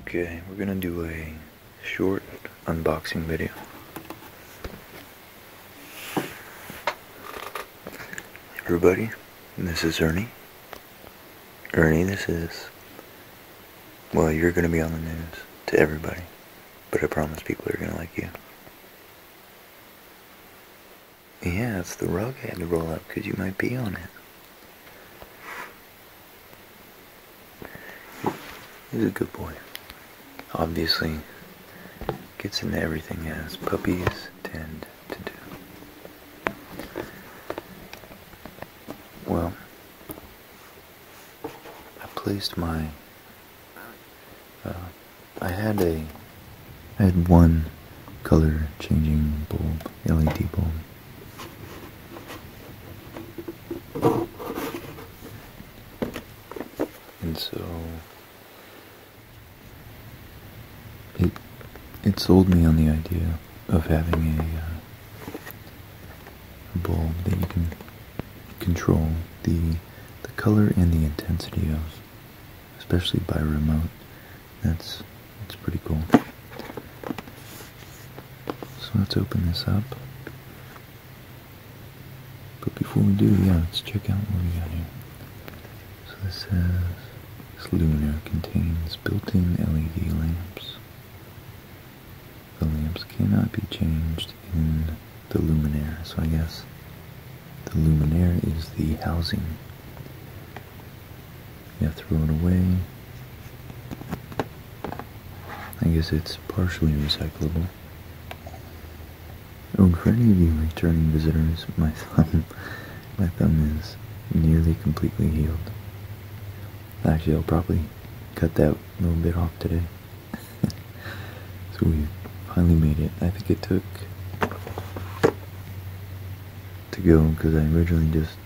Okay, we're gonna do a short unboxing video. Everybody, this is Ernie. Ernie, this is... Well, you're gonna be on the news to everybody. But I promise people are gonna like you. Yeah, it's the rug I had to roll up because you might pee on it. He's a good boy. Obviously, gets into everything as puppies tend to do. Well, I placed my uh, I had a, I had one color changing bulb, LED bulb. And so it it sold me on the idea of having a uh, bulb that you can control the the color and the intensity of, especially by remote. That's that's pretty cool. So let's open this up. But before we do, yeah, let's check out what we got here. So this says this lunar contains built-in LED lamps. The lamps cannot be changed in the luminaire. So I guess the luminaire is the housing. You throw it away. I guess it's partially recyclable. Oh, for any of you returning visitors, my thumb, my thumb is nearly completely healed. Actually, I'll probably cut that little bit off today so we finally made it. I think it took to go because I originally just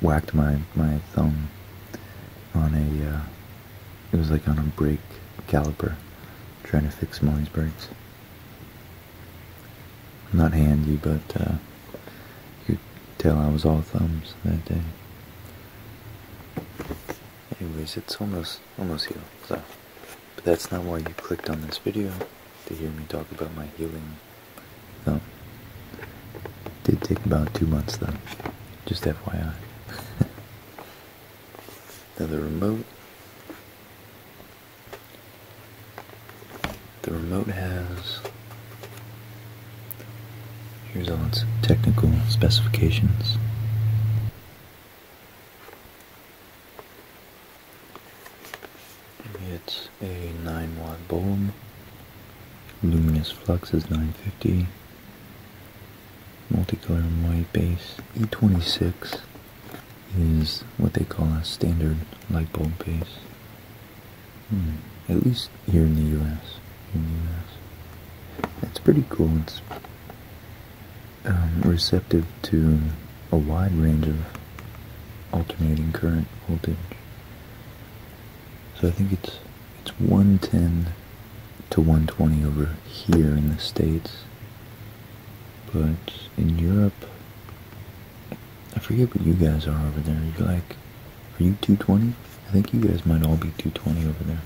whacked my my thumb on a uh, it was like on a brake caliper trying to fix Molly's brakes. Not handy, but uh, you could tell I was all thumbs that day. Anyways, it's almost almost healed, so. But that's not why you clicked on this video, to hear me talk about my healing thumb. It did take about two months though, just FYI. The remote. The remote has, here's all its technical specifications. It's a 9 watt bulb. Luminous flux is 950. Multicolor white base. E26 is what they call a standard light bulb base. Hmm, at least here in the US. That's pretty cool. Um, receptive to a wide range of alternating current voltage. So I think it's it's 110 to 120 over here in the States. But in Europe, I forget what you guys are over there. You're like, are you 220? I think you guys might all be 220 over there.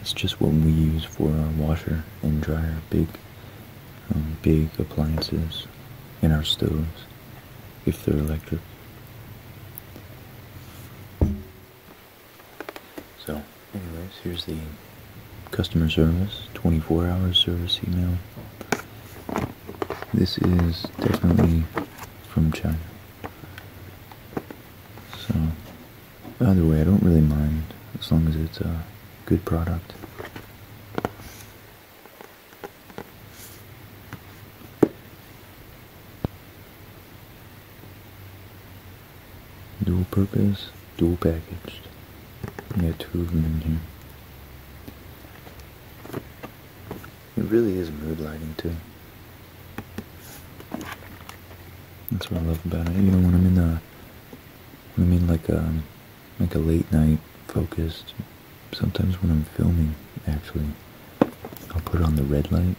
It's just what we use for our washer and dryer, big, um, big appliances, and our stoves, if they're electric. So, anyways, here's the customer service, 24 hour service email. This is definitely from China. So, Either way, I don't really mind as long as it's a good product. Dual purpose, dual packaged. We two of them in here. It really is mood lighting too. That's what I love about it. You know, when I'm in a, I mean, like a, um, like a late night focused. Sometimes when I'm filming, actually, I'll put on the red light.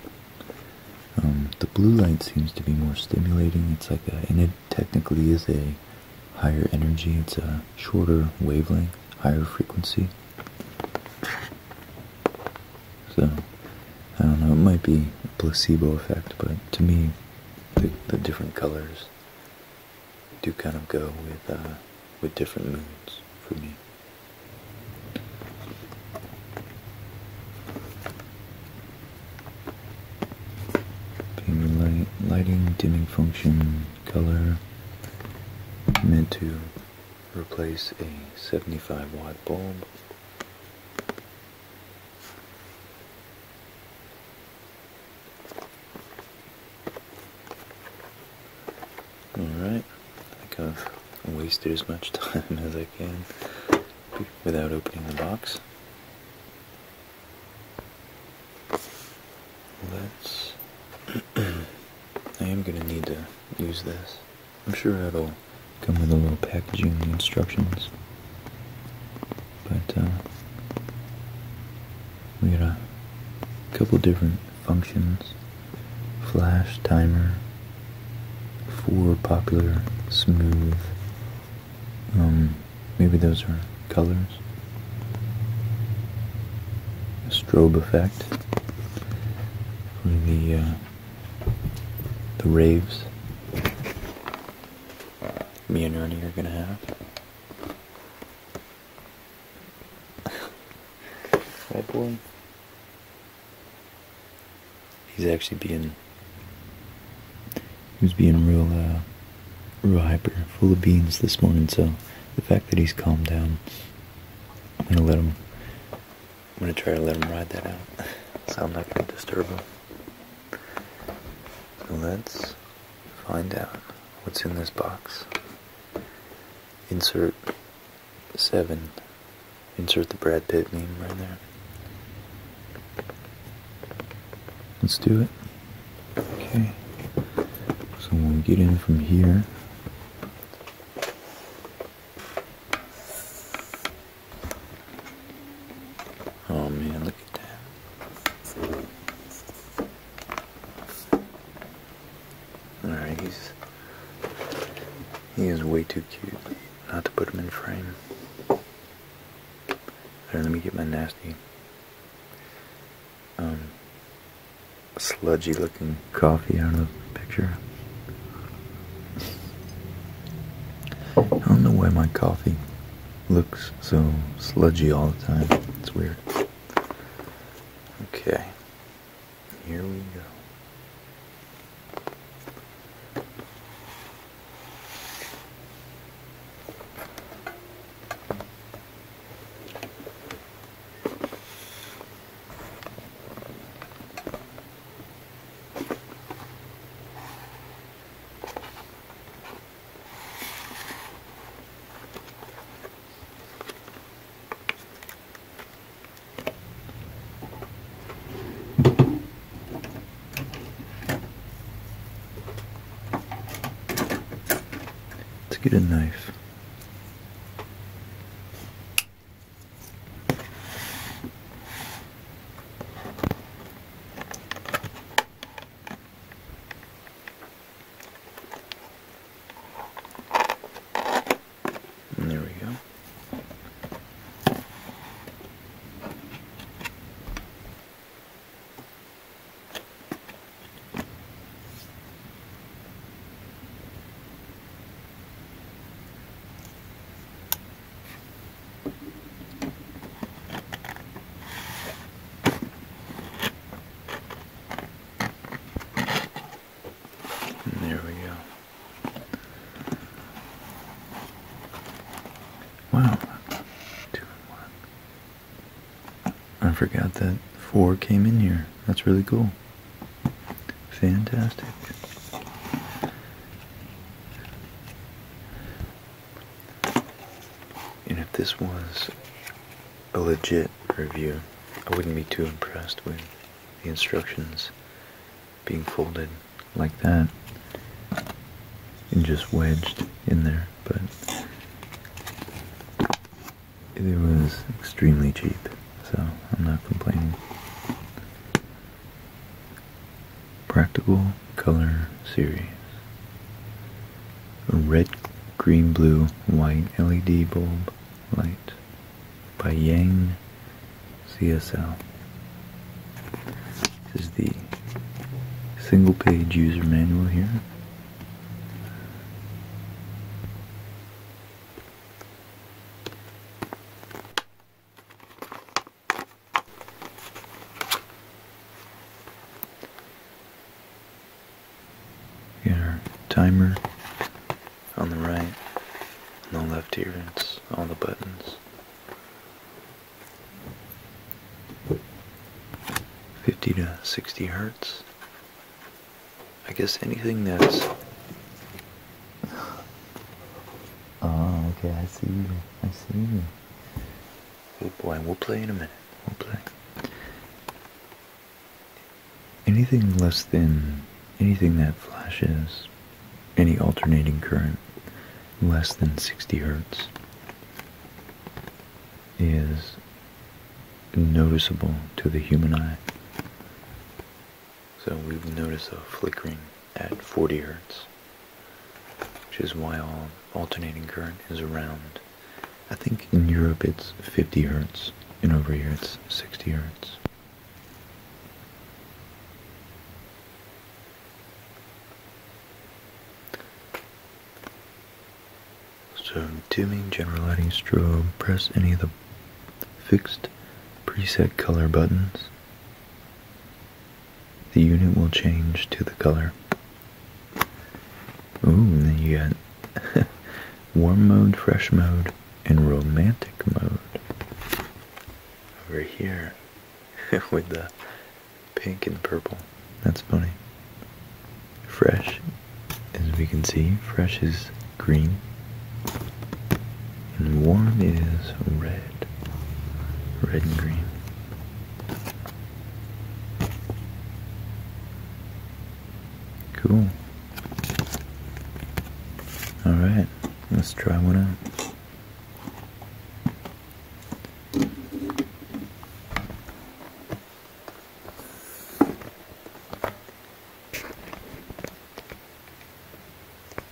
Um, the blue light seems to be more stimulating. It's like and it technically is a higher energy. It's a shorter wavelength, higher frequency. So, I don't know, it might be a placebo effect, but to me, the, different colors do kind of go with, uh, with different moods for me. Beam light, lighting, dimming function, color, meant to replace a 75 watt bulb Alright, I right. I'm gonna waste as much time as I can without opening the box. Let's... I am going to need to use this. I'm sure that'll come with a little packaging instructions. But uh, we got a couple different functions. Flash timer, four popular, smooth. Um, maybe those are colors. A strobe effect for the uh, the raves me and Ernie are gonna have. that boy. He's actually being. He was being real, uh, real hyper, full of beans this morning. So the fact that he's calmed down, I'm gonna let him I'm gonna try to let him ride that out, so I'm not gonna disturb him. Let's find out what's in this box. Insert seven. Insert the Brad Pitt meme right there. Let's do it. Okay. So when we get in from here, Oh man, look at that. Alright, he's he is way too cute not to put him in frame. There, let me get my nasty um sludgy looking coffee out of the picture. I don't know why my coffee looks so sludgy all the time. It's weird. Okay, here we go. Let's get a knife. And there we go there we go. Wow. Two one. I forgot that four came in here. That's really cool. Fantastic. And if this was a legit review, I wouldn't be too impressed with the instructions being folded like that and just wedged in there, but it was extremely cheap, so I'm not complaining. Practical Color Series. red, green, blue, white LED bulb light by Yang CSL. This is the single page user manual here. Yeah, timer on the right, on the left here, it's all the buttons. 50 to 60 hertz. I guess anything that's Oh, okay, I see you. I see you. Oh boy, we'll play in a minute. We'll play. Anything less than anything that flashes any alternating current less than 60 hertz is noticeable to the human eye. So we will notice a flickering at 40 hertz, which is why all alternating current is around. I think in Europe it's 50 hertz, and over here it's 60 hertz. So dimming general lighting strobe, press any of the fixed preset color buttons the unit will change to the color. Ooh, and then you got warm mode, fresh mode, and romantic mode. Over here with the pink and purple. That's funny. Fresh, as we can see, fresh is green and warm is red, red and green. Cool. Alright, let's try one out.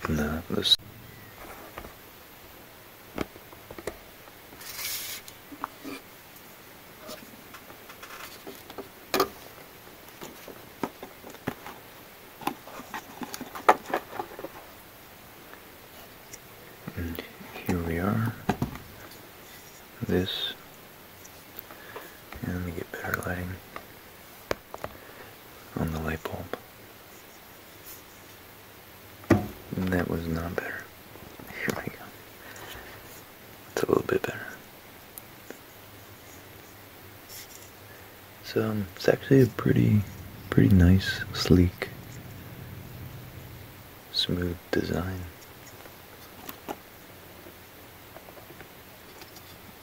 No, this. And here we are. This. And let me get better lighting on the light bulb. Mm, that was not better. Here we go. It's a little bit better. So um, it's actually a pretty, pretty nice, sleek, smooth design.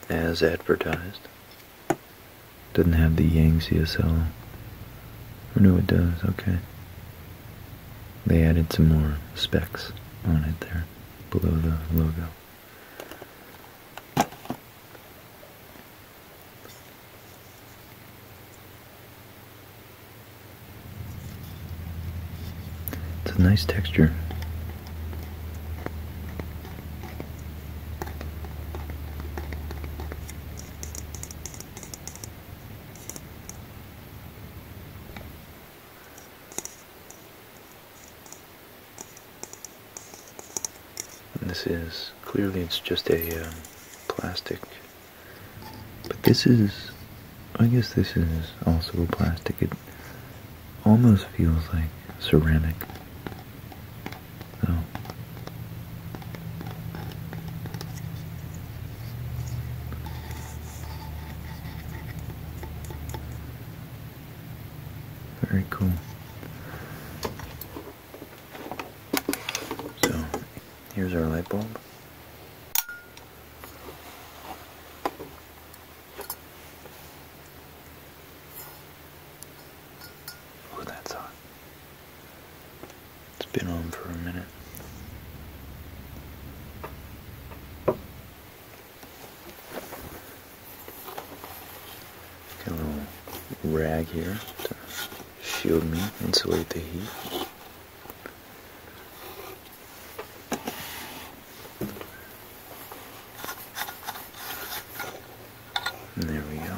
As advertised. Doesn't have the Yang CSL. Or no, it does. Okay. They added some more specs on it there below the logo. It's a nice texture. And this is clearly it's just a um, plastic, but this is, I guess this is also a plastic. It almost feels like ceramic. So. Very cool. So, here's our light bulb. Oh, that's hot. It's been on for a minute. Get a little rag here to shield me, insulate the heat. And there we go.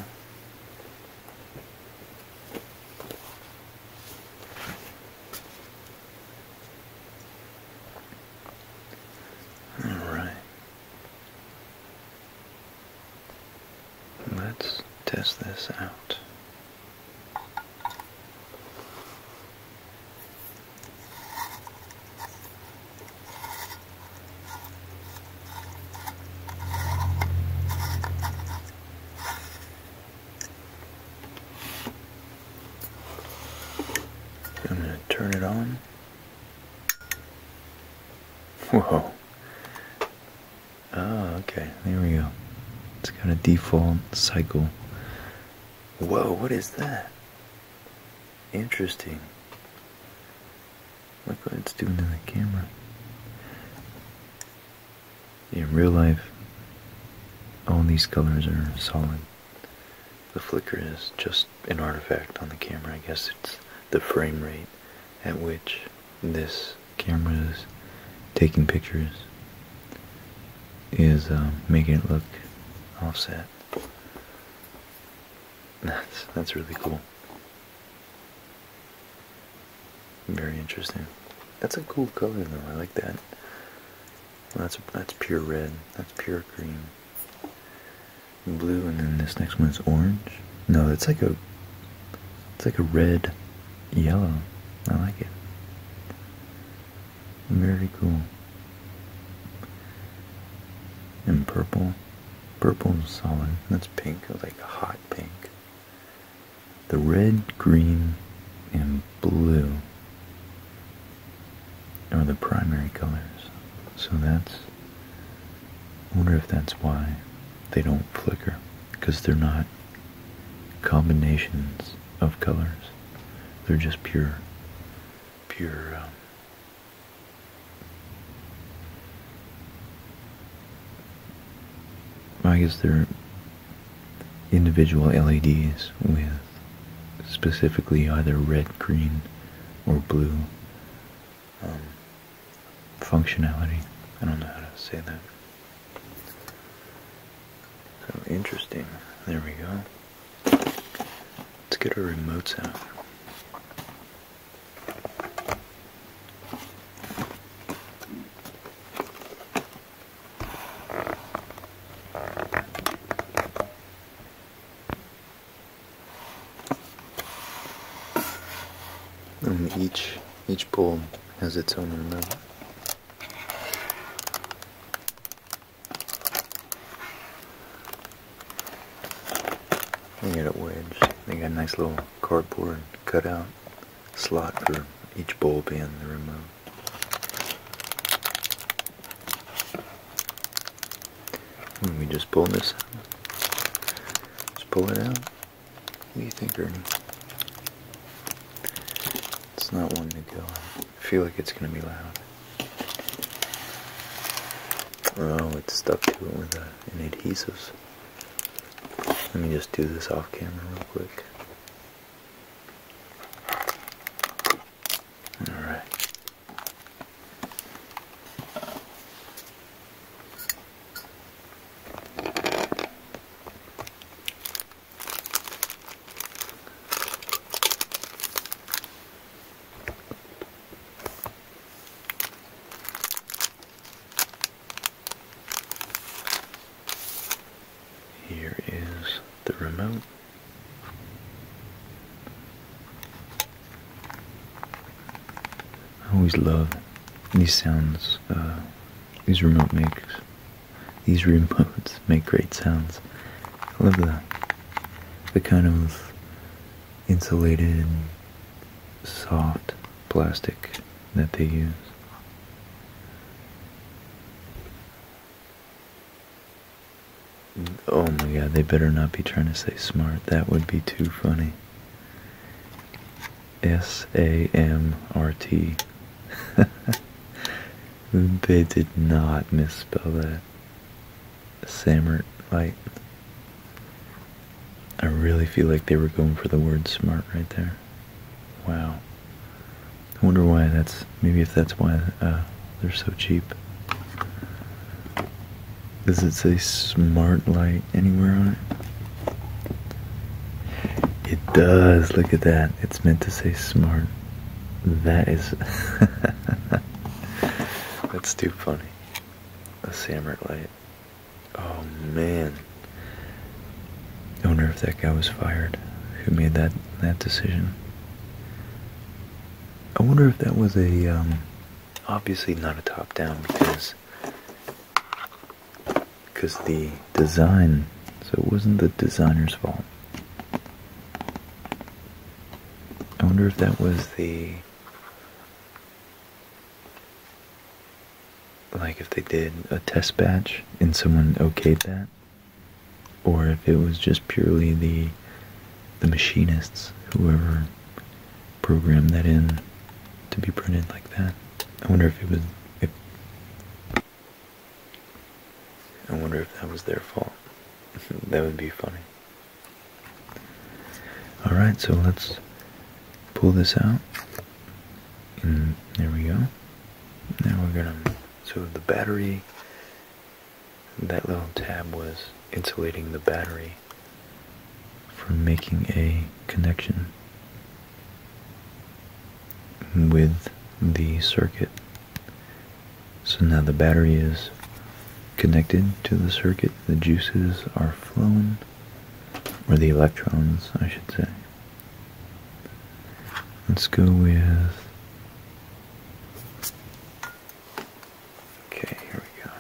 All right. Let's test this out. I'm going to turn it on. Whoa. Oh, okay. There we go. It's got a default cycle. Whoa, what is that? Interesting. Look what it's doing to the camera. In real life, all these colors are solid. The flicker is just an artifact on the camera. I guess it's the frame rate at which this camera is taking pictures is uh, making it look offset. That's that's really cool. Very interesting. That's a cool color though. I like that. That's that's pure red. That's pure green. Blue, and then this next one is orange. No, it's like a it's like a red yellow. I like it. Very cool. And purple. Purple and solid. That's pink, like a hot pink. The red, green, and blue are the primary colors. So that's. I wonder if that's why they don't flicker. Because they're not combinations of colors. They're just pure, pure um, I guess they're individual LEDs with specifically either red, green, or blue um, functionality. I don't know how to say that. So interesting. There we go. Let's get our remotes out. And each each poem has its own number. Hang it wedge. They got a nice little cardboard cutout slot for each bowl pin to remove. And we just pull this out. Let's pull it out. What do you think, Ernie? It's not one to go. I feel like it's going to be loud. Oh, it's stuck to it with an uh, adhesive. Let me just do this off camera real quick. Alright. Here is the remote. I always love these sounds uh, these remote makes. These remotes make great sounds. I love the the kind of insulated and soft plastic that they use. Oh my god, they better not be trying to say smart. That would be too funny. S A M R T. they did not misspell that. Samert fight. I really feel like they were going for the word smart right there. Wow. I wonder why that's, maybe if that's why uh, they're so cheap. Does it say smart light anywhere on it? It does, look at that. It's meant to say smart. That is, that's too funny a Samrit light. Oh man. I wonder if that guy was fired. Who made that that decision? I wonder if that was a um, obviously not a top down because because the design so it wasn't the designer's fault. I wonder if that was the like if they did a test batch and someone okayed that or if it was just purely the the machinists whoever programmed that in to be printed like that i wonder if it was if i wonder if that was their fault that would be funny Alright, so let's pull this out. there we go. Now we're gonna, so the battery, that little tab was insulating the battery from making a connection with the circuit. So now the battery is connected to the circuit, the juices are flowing, or the electrons, I should say. Let's go with. Okay, here we go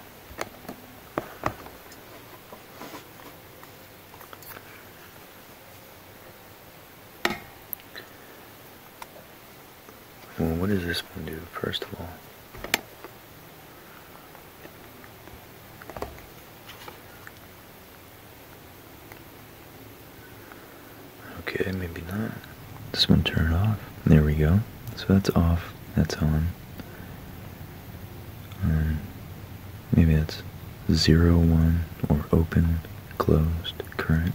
what does this one do, first of all? Okay, maybe not. This one turned off. There we go. So that's off. That's on. Um, maybe that's 0, 1, or open, closed, current.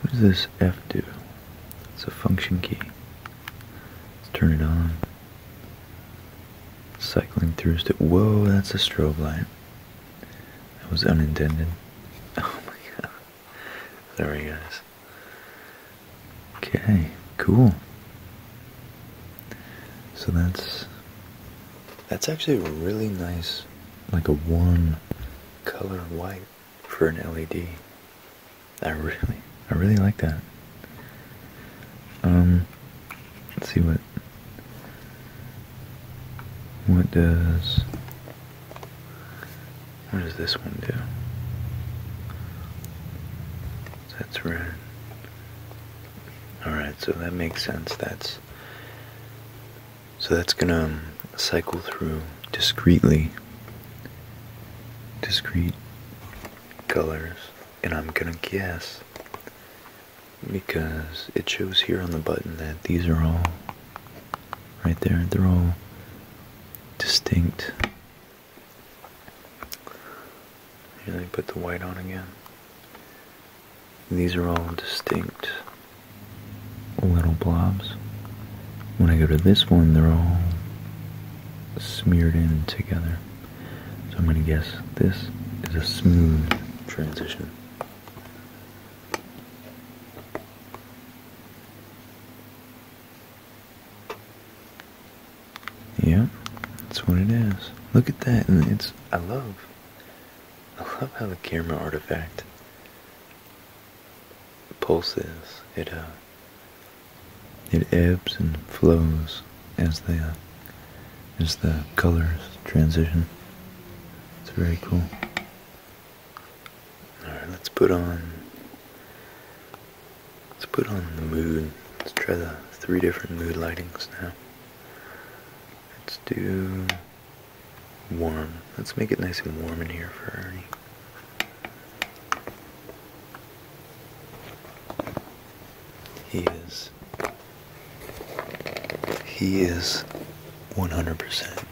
What does this F do? It's a function key. Let's turn it on. Cycling through. Whoa, that's a strobe light. That was unintended. Oh my god. There he guys. Okay, cool. So that's that's actually really nice, like a warm color white for an LED. I really, I really like that. Um, let's see what, what does, what does this one do? That's red. Alright, so that makes sense. That's, so that's gonna, um, cycle through discreetly discrete colors and I'm gonna guess because it shows here on the button that these are all right there they're all distinct and I put the white on again these are all distinct little blobs when I go to this one, they're all smeared in together. So I'm going to guess this is a smooth transition. Yeah, that's what it is. Look at that, and it's, I love, I love how the camera artifact pulses. It, uh, it ebbs and flows as the as the colors transition. It's very cool. All right, let's put on let's put on the mood. Let's try the three different mood lightings now. Let's do warm. Let's make it nice and warm in here for Ernie. He is. He is 100%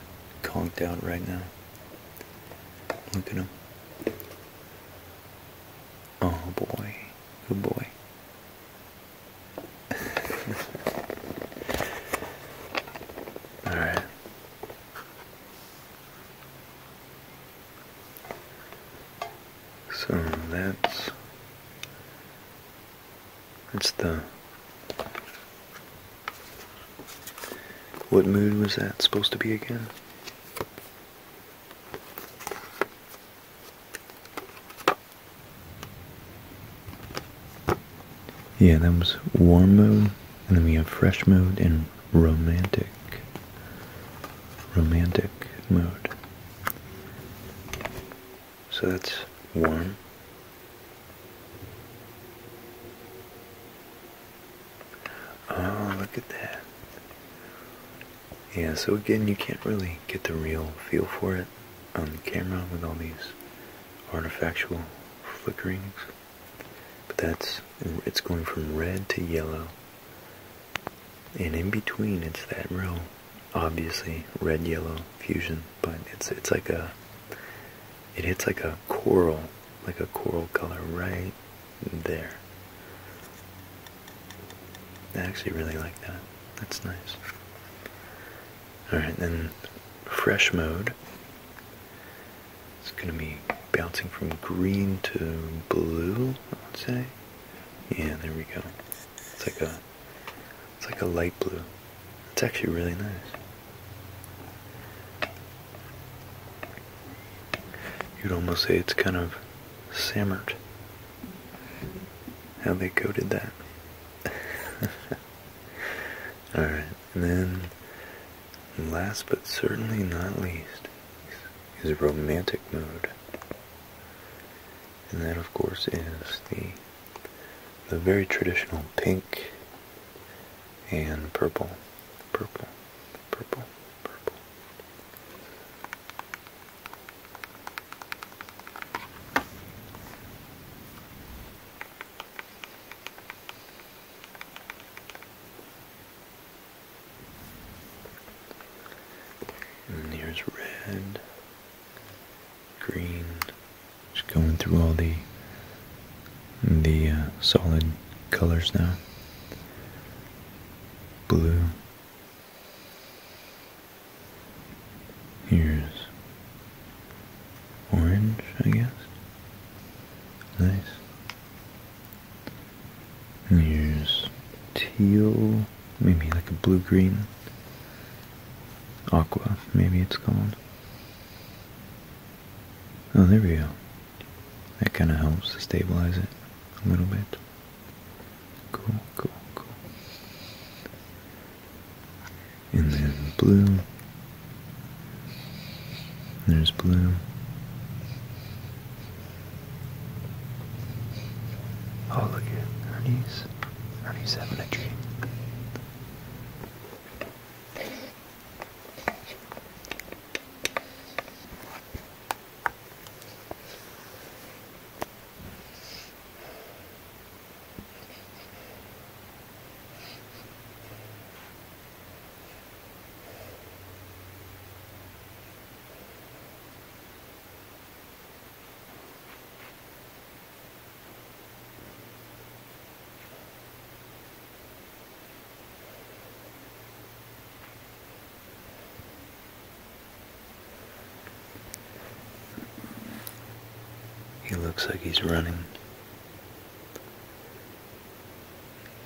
conked out right now. Look at him. Oh boy. Good boy. Alright. So that's that's the what mood was that supposed to be again? Yeah, that was warm mode. And then we have fresh mood and romantic. Romantic mode. So that's warm. Oh, look at that. Yeah, so again, you can't really get the real feel for it on the camera with all these artificial flickerings. But that's it's going from red to yellow. And in between it's that real obviously red yellow fusion, but it's it's like a it hits like a coral, like a coral color right there. I actually really like that. That's nice. Alright, then fresh mode. It's going to be bouncing from green to blue, I would say. Yeah, there we go. It's like a it's like a light blue. It's actually really nice. You'd almost say it's kind of simmered. How they coated that. Alright, and then and last but certainly not least is a romantic mood. And that of course is the the very traditional pink and purple. Purple. Purple. Purple. And here's red, green, just going through all the the uh, solid colors now. Blue. Here's orange, I guess. Nice. Use teal, maybe like a blue-green. Aqua, maybe it's called. Oh, there we go. That kind of helps to stabilize it a little bit. Cool, cool, cool. And then blue, there's blue. Oh, look at Ernie's. Ernie's having a dream. He looks like he's running.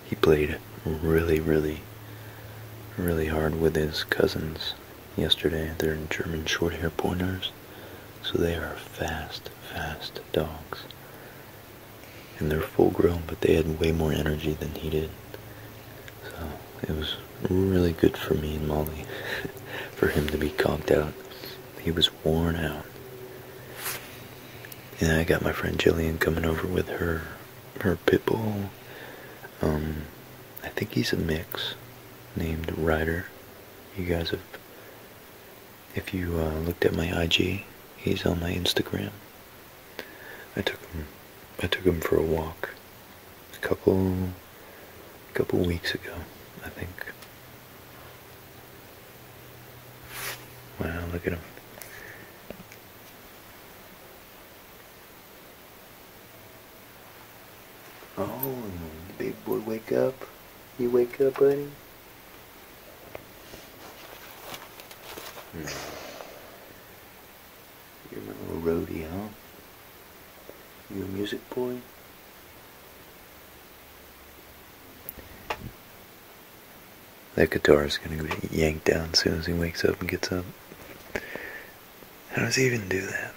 He played really, really, really hard with his cousins yesterday. They're German Shorthair pointers, so they are fast, fast dogs. And they're full grown, but they had way more energy than he did. So it was really good for me and Molly for him to be conked out. He was worn out and I got my friend Jillian coming over with her her pit um, I think he's a mix named Ryder. You guys have, if you uh, looked at my IG, he's on my Instagram. I took him, I took him for a walk a couple, a couple weeks ago, I think. Wow, look at him. Oh, big boy, wake up. You wake up, buddy? Hmm. You're a little roadie, huh? You a music boy? That guitar is gonna get yanked down as soon as he wakes up and gets up. How does he even do that?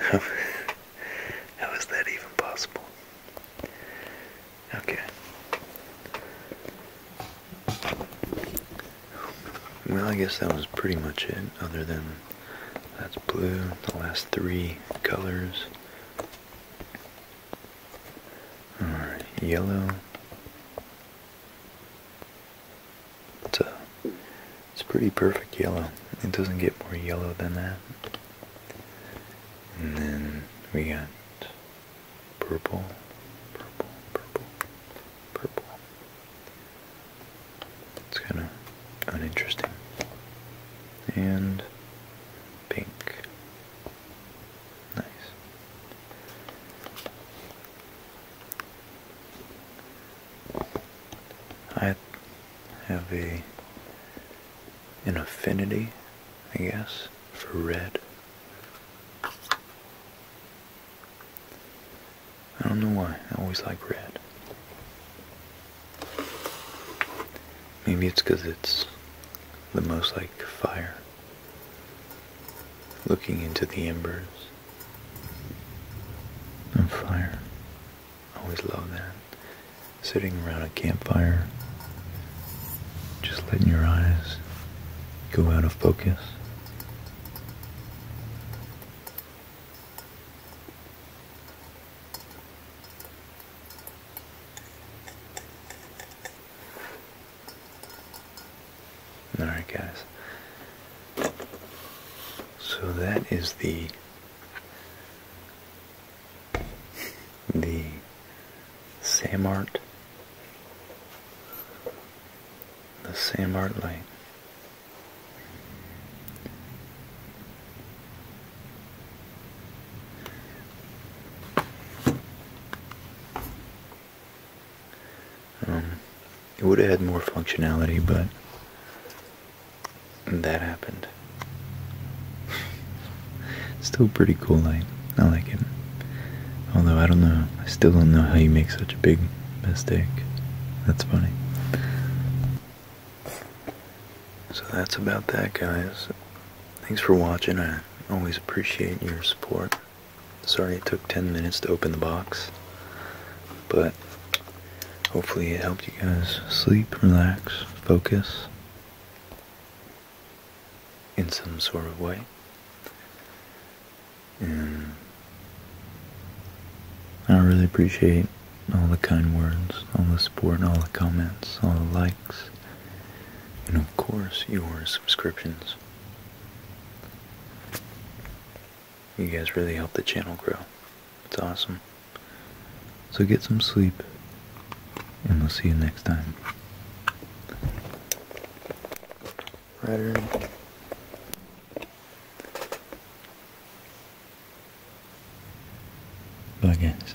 how is that even possible? Okay. Well, I guess that was pretty much it, other than that's blue, the last three colors yellow. It's a it's pretty perfect yellow. It doesn't get more yellow than that. And then we got purple, purple, purple, purple. It's kind of uninteresting. And pink. Nice. I have a an affinity, I guess, for red. I don't know why. I always like red. Maybe it's because it's the most like fire. Looking into the embers of fire. Always love that. Sitting around a campfire, just letting your eyes go out of focus. Alright guys. So that is the the Samart the Samart light. Um, it would have had more functionality, but that happened. Still pretty cool light. I like it. Although I don't know, I still don't know how you make such a big mistake. That's funny. So that's about that, guys. Thanks for watching. I Always appreciate your support. Sorry it took 10 minutes to open the box, but hopefully it helped you guys sleep, relax, focus in some sort of way. And I really appreciate all the kind words, all the support, all the comments, all the likes and of course your subscriptions. You guys really help the channel grow. It's awesome. So get some sleep, and we'll see you next time. Right, Ernie? Bye, guys.